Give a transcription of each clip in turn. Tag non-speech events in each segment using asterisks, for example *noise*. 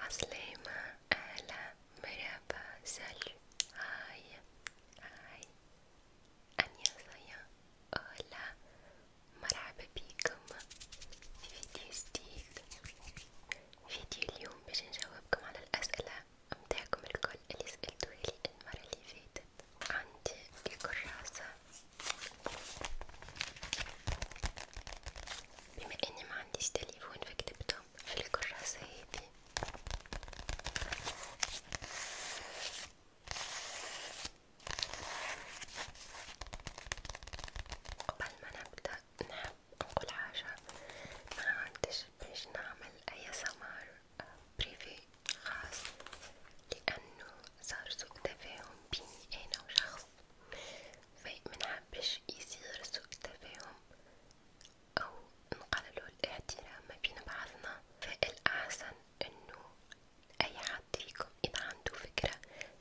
عسلامة أهلا مرحبا سالو هاي هاي أنيازايا أهلا مرحبا بيكم في فيديو جديد فيديو اليوم باش نجاوبكم على الأسئلة متاعكم الكل اللي سألتوهالي المرة اللي فاتت عندي الكراسة بما اني ما عنديش تليفون فكتبتهم في الكراسة هذي قبل ما نبدأ نحب نقول حاجة ما عندش باش نعمل اي سمار بريفي آه، خاص لانه صار سوء تفاهم بيني انا وشخص فمنحبش يصير سوء تفاهم أو نقللو الاحترام ما بين بعضنا، فالأحسن إنو أي حد فيكم إذا عندو فكرة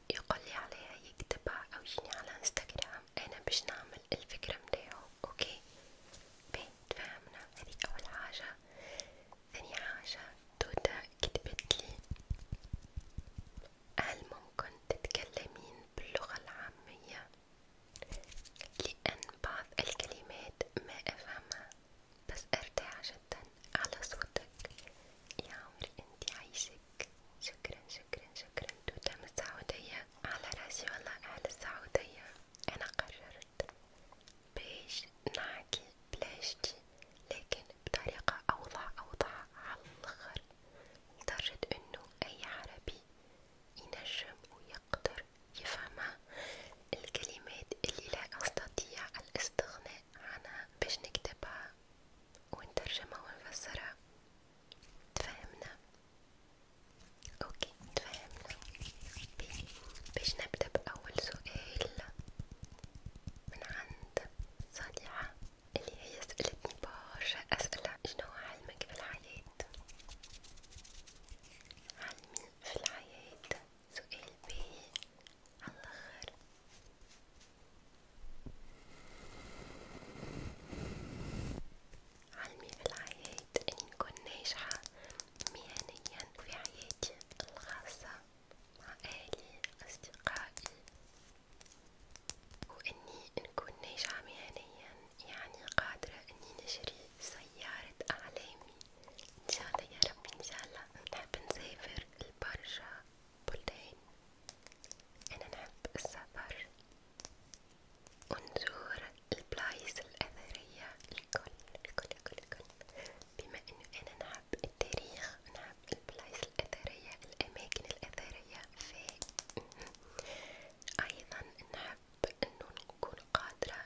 يقولي عليها يكتبها أو يجيني على انستغرام أنا باش نعمل الفكرة متاعو، أوكي؟ باهي تفاهمنا هذي أول حاجة، ثاني حاجة توتا كتبتلي هل ممكن تتكلمين باللغة العامية؟ لأن بعض الكلمات ما أفهمها بس أرتاح جدا على صوتك يا عمري أنت عايشك شكرا شكرا شكرا توتة من السعودية على راسي والله أهل السعودية أنا قررت باش نحكي بلاشتي لكن بطريقة أوضح أوضح على الآخر لدرجة انه اي عربي ينجم ويقدر يفهمها الكلمات اللي لا استطيع الاستغناء عنها باش نكتبها ونترجمها ونفسرها تفهمنا اوكي تفهمنا باش نبدأ بأول سؤال من عند صالحة اللي هي سألتني برشا أسئلة شنو علمك في الحياة؟ علمي في الحياة سؤال باهي عالآخر علمي في الحياة إني نكون ناجحة مهنيا في حياتي الخاصة مع أهلي أصدقائي وإني نكون ناجحة مهنيا يعني قادرة إني نشري سيارة أحلامي إن شاء الله يا رب إن شاء الله نحب نسافر لبرشا بلدان أنا نحب السفر ونزور البلايص الأثرية الكل الكل الكل الكل بما إنه أنا نحب التاريخ نحب البلايص الأثرية الأماكن الأثرية معايا ف أيضا نحب أنو نكون قادرة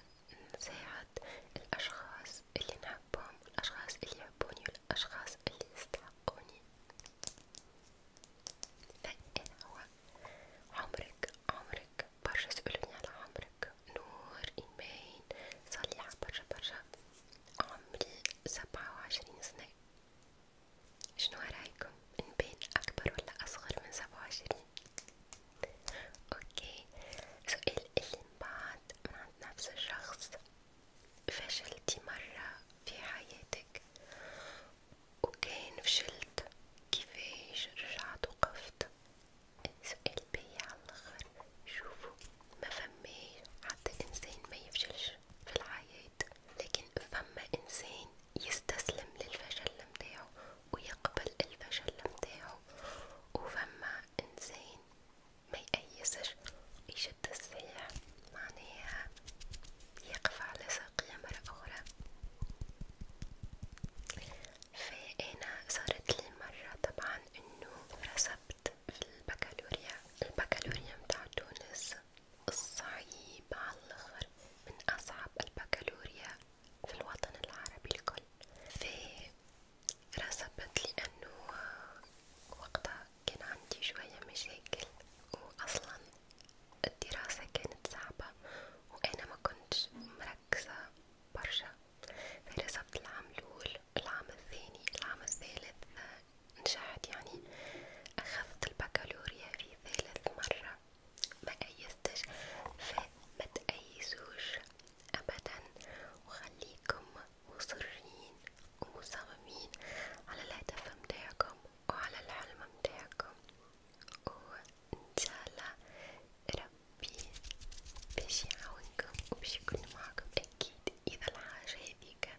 نساعد الأشخاص اللي نحبهم الأشخاص اللي يحبوني والأشخاص اللي يستحقوني فإذا هو عمرك عمرك برشا سألوني على عمرك نور إيمان صار لي برشا برشا عمري سبعة وعشرين سنة شنو رايكم نبين اكبر ولا اصغر من سبعة وعشرين اوكي سؤال اللي بعد من عند نفس الشخص فشلتي مرة في حياتك وكان فشلت كيفاش رجعت وقفت سؤال بيا عاللخر شوفوا ما فماش حتى انسان ما يفشلش في الحياة لكن فما انسان يستسلم للفشل متاعو ويقبل الفشل متاعو وفما انسان ما يأيسش يشد الصحيح معناها يقف على ساقية مرة أخرى فأنا صارت لي مرة طبعا انه رسبت في البكالوريا البكالوريا متاع تونس الصعيب على الآخر من أصعب البكالوريا في الوطن العربي الكل، في رسبت لأنه وقتها كان عندي شوية مشاكل وأصلا الدراسة كانت صعبة وأنا ما كنتش مركزة برشا، فرسبت العام الأول، العام الثاني، العام الثالث نجحت يعني أخذت البكالوريا في ثالث مرة ما أيستش فما تأيسوش أبدا وخليكم مصرين ومصممين على الهدف متاعكم وعلى الحلم متاعكم وإن شاء الله ربي باش يعاونكم وباش يكون معكم أكيد إذا الحاجة هذيك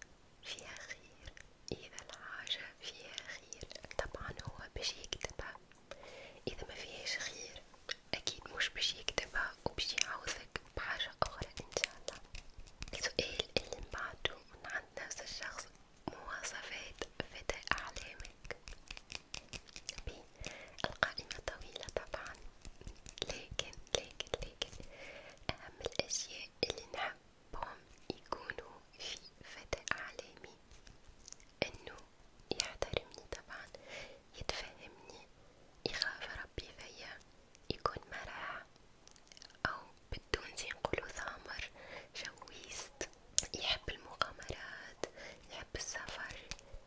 فيها خير إذا الحاجة فيها خير طبعا هو باش يكتبها إذا ما فيهاش خير أكيد مش باش يكتبها وباش يعوزك بحاجة أخرى إن شاء الله السؤال اللي من بعده من عند نفس الشخص مواصفات فتاة أحلامك بي القائمة طويلة طبعا لكن لكن لكن أهم الأشياء اللي نحب هم يكونوا في فتى اعلامي انه يحترمني طبعا يتفهمني يخاف ربي فيا يكون مرح او بدون زي نقولو ثامر شويست يحب المغامرات يحب السفر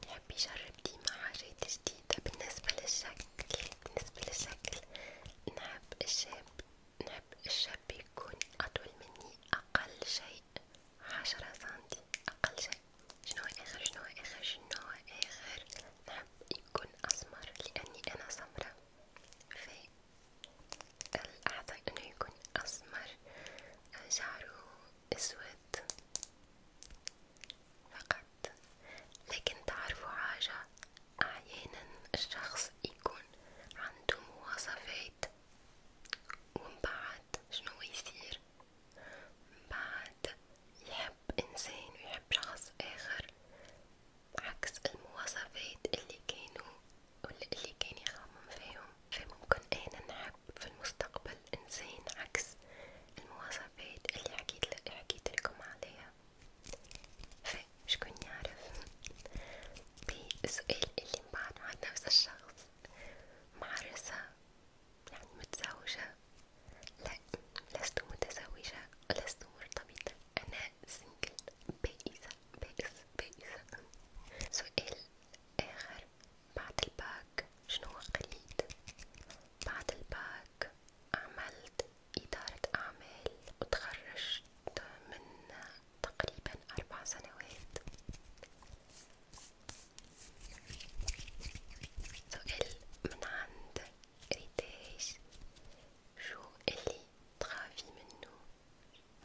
يحب يجرب ديما حاجات جديدة بالنسبة للشكل بالنسبة للشكل نحب الشاب نحب أحب الشاب يكون أطول مني أقل شيء عشرة سنتي أقل شيء شنو آخر شنو آخر شنو آخر نحب يكون أسمر لأني أنا سمرة في الأحضر إنه يكون أسمر شعره أسود فقط لكن تعرفوا حاجة أحيانا الشخص يكون عنده مواصفات ومن بعد شنو يصير من بعد يحب إنسان ويحب شخص آخر عكس المواصفات اللي كانوا اللي كان يخمم فيهم فممكن أنا نحب في المستقبل إنسان عكس المواصفات اللي حكيت حكيت لكم عليها فشكون يعرف بسؤال اللي مبعد مع نفس الشخص معرسة يعني متزوجة لا لست متزوجة ولست مرتبطة أنا سنجل بائسة بائس بائسة سؤال آخر بعد الباك شنو قليت بعد الباك عملت إدارة أعمال وتخرجت من تقريبا أربع سنوات سؤال من عند ريتاج شو اللي تخافي منه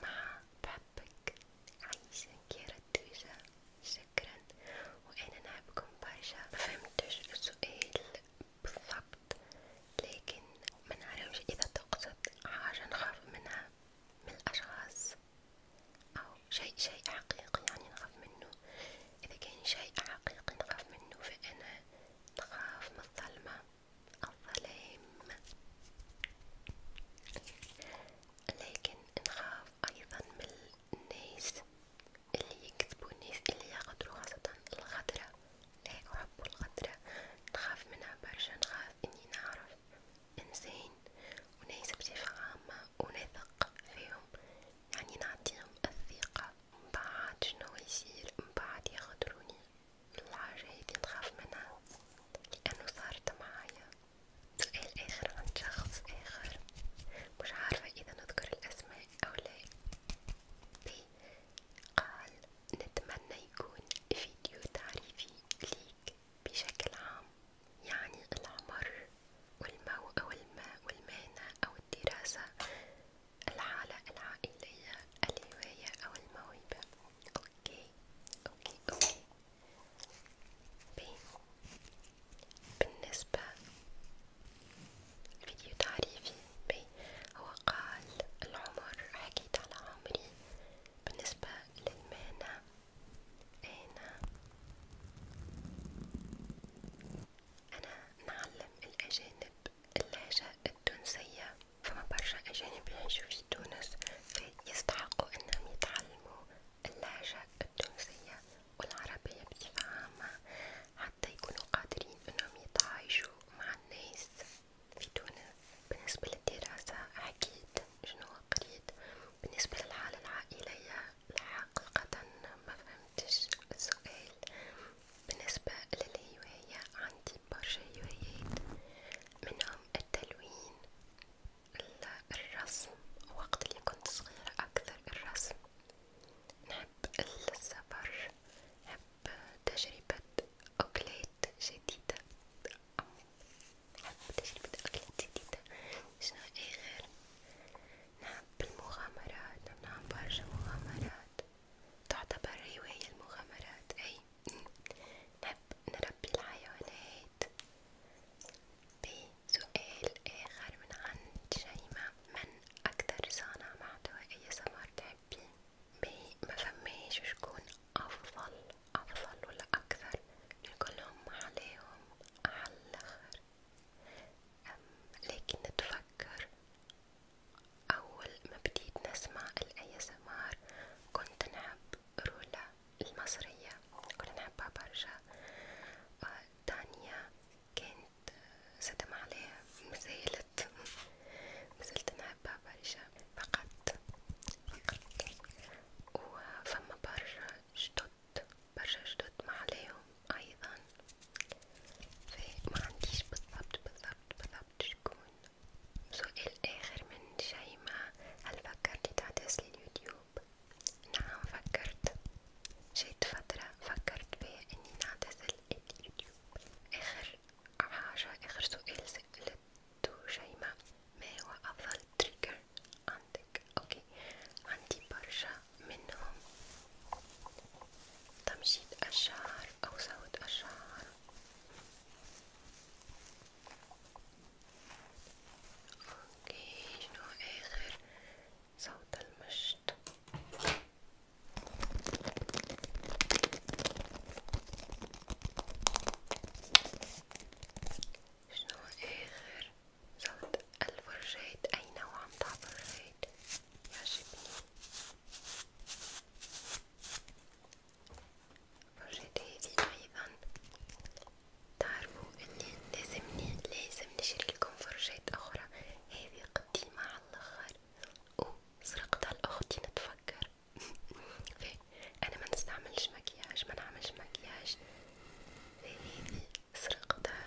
مع بحبك عايشة كيرا شكرا وأنا نحبكم برشا مفهمتش السؤال بالضبط لكن منعرفش إذا تقصد حاجة نخاف منها من الأشخاص أو شيء شيء حقيقي يعني نخاف منه إذا كان شيء حقيقي نخاف منه فأنا نخاف من الظلمة الظلام لكن نخاف أيضا من الناس اللي يكذبوا الناس اللي ياخدوا خاصة الخضرة لا أحب الغدرة نخاف منها برشا نخاف إني نعرف إنسان وناس بصفة عامة ونثق فيهم يعني نعطيهم الثقة مبعد شنو يصير مبعد يخدروني الحاجة هذي نخاف منها لأنه صارت معايا سؤال آخر عن شخص آخر مش عارفة إذا نذكر الأسماء أو لا بي قال نتمنى يكون فيديو تعريفي ليك بشكل عام يعني العمر والموء والماء والمهنة أو الدراسة الحالة العائلية الهواية أو الموهبة أوكي أوكي أوكي بي. بالنسبة فيديو تعريفي بي ماشي هو قال العمر حكيت على عمري بالنسبة للمهنة أنا أنا نعلم الأجانب اللهجة التونسية فما برشا أجانب يعيشوا في تونس يستحقوا أنهم يتعلموا اللهجة التونسية والعربية بصفة عامة حتى يكونوا قادرين أنهم يتعايشوا مع الناس في تونس بالنسبة للدراسة حكيت شنو قريت بالنسبة للحالة العائلية حقيقة ما فهمتش السؤال بالنسبة للهواية عندي برشا هوايات منهم التلوين الرسم وقت اللي كنت صغيرة أكثر الرسم نحب السفر نحب تجربة أكلات جديدة نحب تجربة أكلات جديدة شنو أي غير نحب المغامرات نعمل برشا مغامرات تعتبر هواية المغامرات أي نحب نربي الحيوانات بسؤال آخر من عند شيماء من أكثر صانع محتوى أي سمر تحبي؟ ما فماش شكون أفضل أفضل ولا أكثر لكلهم عليهم عالآخر لكن نتفكر أول ما بديت نسمع الأي سمار كنت نحب رولا المصرية كنت نحبها برشا آه، تانية كانت سدم آه، عليها مازال فقط مازلت نحبها برشا فقط فقط وفما برشا جدد برشا جدد ما عليهم أيضا فما عنديش بالضبط بالضبط بالضبط شكون سؤال آخر من شيماء هل فكرتي تعتزلي اليوتيوب؟ نعم فكرت جيت فترة فكرت بها اني نعتزل اليوتيوب اخر عشرة آخر سؤال سألته شيماء ما هو أفضل تريجر عندك؟ أوكي عندي برشا منهم تمشيط الشعر أو صوت الشعر أوكي شنو آخر صوت المشط شنو آخر صوت الفرجيت أي نوع متاع فرجيت يعجبني فرجيت هذي أيضا تعرفوا إني لازمني لازم نشري لكم فرجات أخرى هذي قديمة على الآخر وسرقتها لأختي نتفكر *laughs* فيه. أنا ما نستعملش مكياج ما نعملش مكياج هذه سرقتها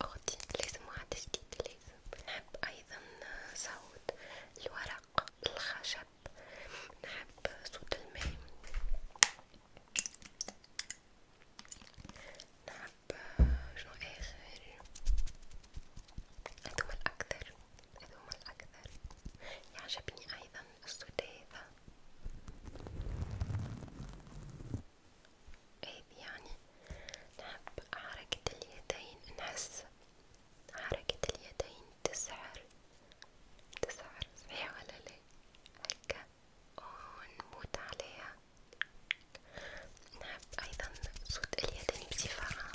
لأختي لازم واحد جديد لازم نحب أيضا صوت الورق الخشب نحب صوت الماء نحب شو آخر هذوما الأكثر هذوما الأكثر يعجبني أيضا السديثة هذي إيه، يعني نحب حركة اليدين نحس حركة اليدين تسعر تسعر صحيح ولا لا هكا ونموت عليها نحب نعم، أيضا صوت اليدين بصفة عامة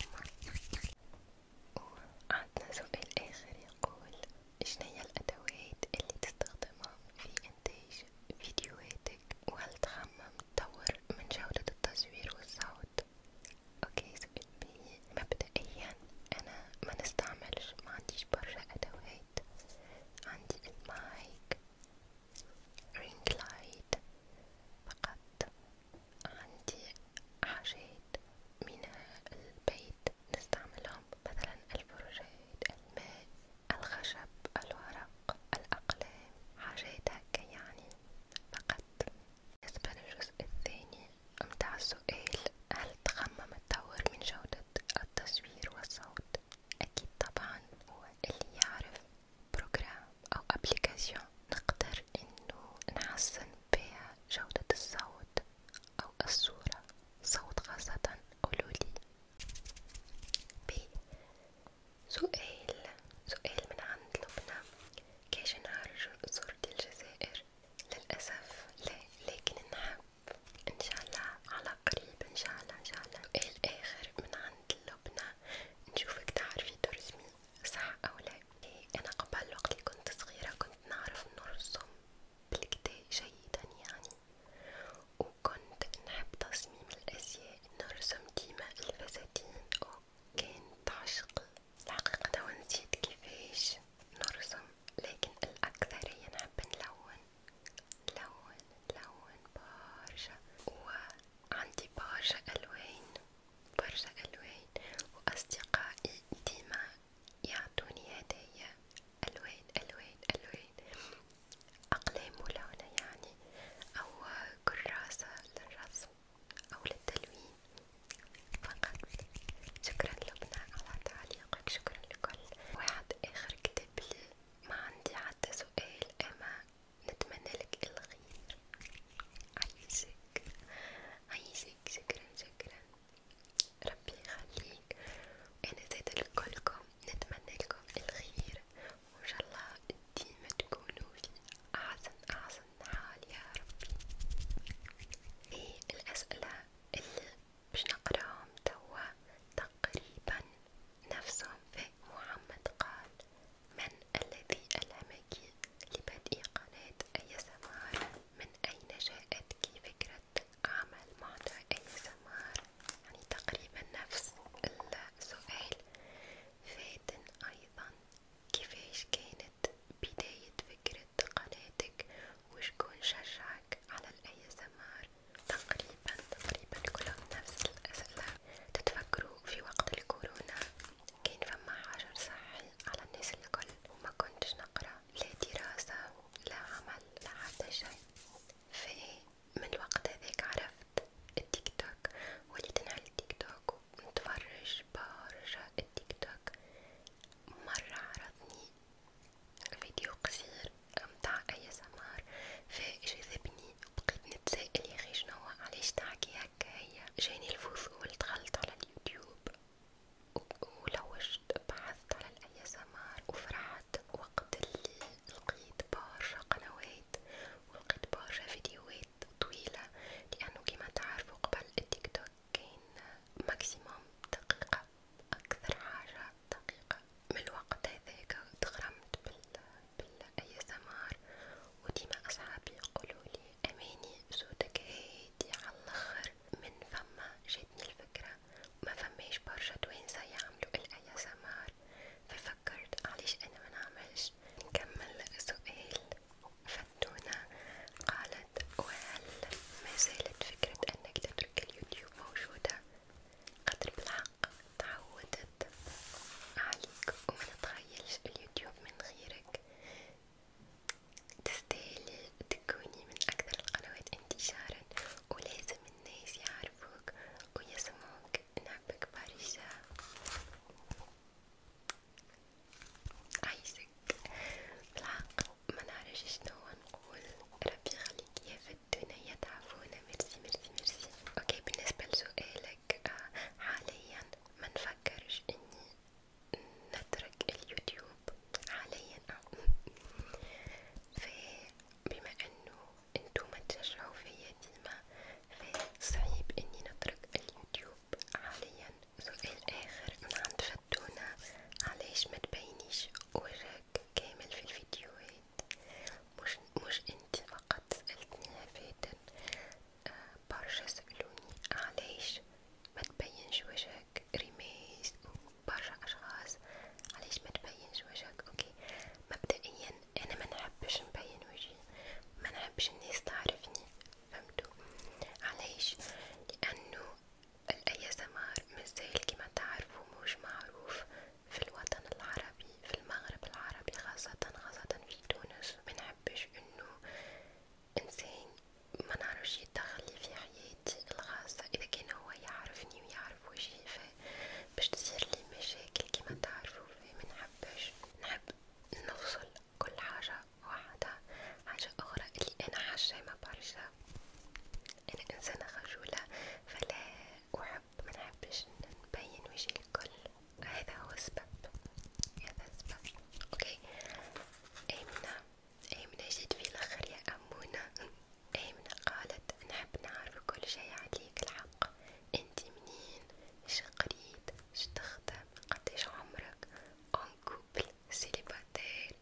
وعندنا سؤال آخر يقول شناهي الأدوات اللي تستخدمها في إنتاج فيديوهاتك وهل تخمم تطور من جودة التصوير والصوت؟ اوكي سؤال بي مبدئيا أنا ما نستعملش ما عنديش برشا أدوات عندي المايك رينج لايت فقط عندي حاجات من البيت نستعملهم مثلا الفرجات الماء الخشب الورق الأقلام حاجات هكا يعني فقط بالنسبة للجزء الثاني متاع السؤال هل تخمم التطور من جودة التصوير والصوت؟ أكيد طبعا هو اللي يعرف بروجرام أو أبليكاسيون نقدر إنه نحسن بها جودة الصوت أو الصورة صوت خاصة قولولي ب سؤال سؤال من عند لبنى كاش نهار زرتي الجزائر للأسف لا لكن نحب ان شاء الله على قريب ان شاء الله ان شاء الله سؤال اخر من عند لبنى نشوفك تعرفي ترسمي صح أو لا؟ إيه، أنا قبل وقت اللي كنت صغيرة كنت نعرف نرسم بالكدا جيدا يعني، وكنت نحب تصميم الأزياء، نرسم ديما الفساتين، وكانت عشقي، الحقيقة توا نسيت كيفاش نرسم، لكن الأكثرية نحب نلون، نلون نلون برشا، وعندي برشا ألوان. برشا ألوان وأصدقائي ديما يعطوني هدايا ألوان ألوان ألوان أقلام ملونة يعني أو كراسة للرسم أو للتلوين فقط شكرا لبنى على تعليقك شكرا لكل واحد آخر كتب لي ما عندي حتى سؤال أما نتمنى لك الخير عايزك عايزك شكرا شكرا ربي يخليك وانا زيدا لكلكم نتمنى لكم الخير وان شاء الله ديما تكونوا في احسن احسن حال يا ربي ايه الاسئله اللي باش نقراهم توا تقريبا نفسهم في محمد قال من الذي ألهمك لبدء قناة أي سمار من أين جاءتك فكرة عمل معنى أي سمار يعني تقريبا نفس السؤال فاتن أيضا كيفاش كانت بداية فكرة قناتك وشكون شجعك على الأي سمار تقريبا تقريبا كلهم نفس الأسئلة تتفكروا في وقت الكورونا كان فما حجر سهل على الناس الكل وما كنتش نقرا لا دراسة لا عمل لا حتى شيء فمن الوقت هذاك عرفت التيك توك وليت نعل التيك توك ونتفرج برشا التيك توك مرة عرضني فيديو قصير متاع اي سمار فجذبني بقيت نتسائل ياخي شنوا علاش تحكي هكا هي جاني الفضول دخلت على اليوتيوب ولوجت بحثت على الاي سمار وفرحت وقت اللي لقيت برشا قنوات ولقيت برشا فيديوهات طويلة لأنه كما تعرفوا قبل التيك توك كان ماكسيموم دقيقة أكثر حاجة دقيقة من الوقت هذاك تغرمت بال بالاي سمار وديما اصحابي يقولولي اماني صوتك هادي عاللخر من فما جاتني الفكرة ما فماش برشا توانسة يعملو الاي سمار ففكرت علاش انا منعملش نكمل سؤال فتونة قالت وهل ما زالت فكرة انك تترك اليوتيوب موجودة؟ قدر بالحق تعودت عليك وما تتخيلش اليوتيوب من غيرك تستاهلي تكوني من اكثر القنوات انتشارا ولازم الناس يعرفوك ويسمعوك نحبك برشا عايشك بالحق ما نعرفش شنو نقول ربي يخليك يا في الدنيا تعافونا ميرسي ميرسي ميرسي اوكي بالنسبه لسؤالك آه، حاليا ما نفكرش اني نترك اليوتيوب حاليا فبما انه انتوما تشجعوا فيا ديما فصعيب اني نترك اليوتيوب حاليا سؤال اخر من عند فتونة علاش ما تبينيش وجهك كامل في الفيديوهات مش مش انت فقط سألتني فاتن برشا سألوني علاش ما تبينش وجهك ريميز وبرشا أشخاص علاش ما تبينش وجهك اوكي مبدئيا انا ما نحبش نبين وجهي ما نحبش الناس تعرفني فهمتوا علاش لانه الاي سمار مازال كما تعرفوا مش معروف في الوطن العربي في المغرب العربي خاصة خاصة في تونس منحبش انه انسان منعرفش يتدخل في حياتي الخاصة اذا كان هو يعرفني ويعرف وجهي باش تصير لي مشاكل كيما تعرفوا منحبش نحب نفصل كل حاجة واحدة حاجة اخرى اللي انا حشامة برشا انا انسانة خجولة فلا احب منحبش نبين وجهي الكل هذا هو السبب هذا السبب اوكي ايمنة ايمنة جيت في الاخر يا امونة ايمنة قالت نحب نعرف كل شي عليك الحق انت منين اش قريت اش تخدم قديش عمرك اون كوبل سيليباتير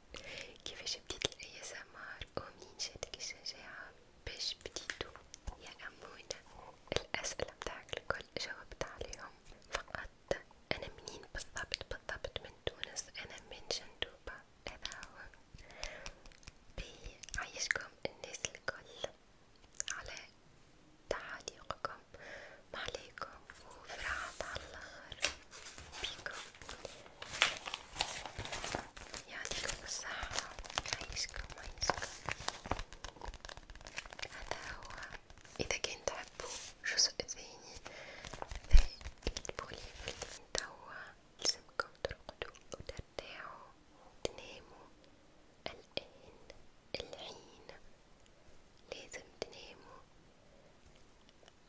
كيفاش بديت الاي اس ام ار ومنين جاتك الشجاعة باش بديتو يا امونة الأسئلة متاعك الكل جاوبت عليهم فقط أنا منين بالضبط بالضبط من تونس أنا من جندوبة هذا هو بيعيشكم الناس الكل على تعاليقكم معليكم وفرحة عالآخر بيكم يعطيكم الصحة عيشكم عيشكم هذا هو إذا كان تحبوا الجزء الثاني فاكتبولي فاللين توا لازمكم ترقدوا وترتاحوا وتناموا الآن الحين لازم تناموا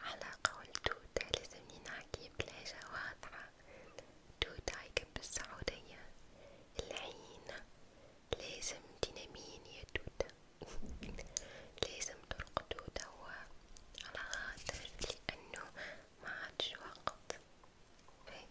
على قول توتا لازمني نحكي بلهجة واضحة توتا هيك بالسعودية العين لازم ديناميين يا توتة *laughs* لازم ترقدو توا على خاطر لأنه ما عادش وقت فيك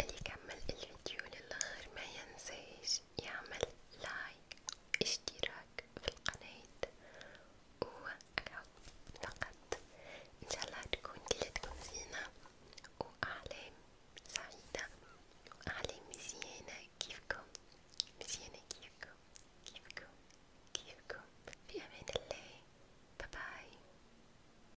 اللي كمل الفيديو للاخر ما ينساش يعمل لايك اشتراك في القناة وأكاو فقط ان شاء الله تكون كلتكم زينة وأعلام سعيدة وأعلام مزيانة كيفكم مزيانة كيفكم كيفكم كيفكم في أمان الله باي باي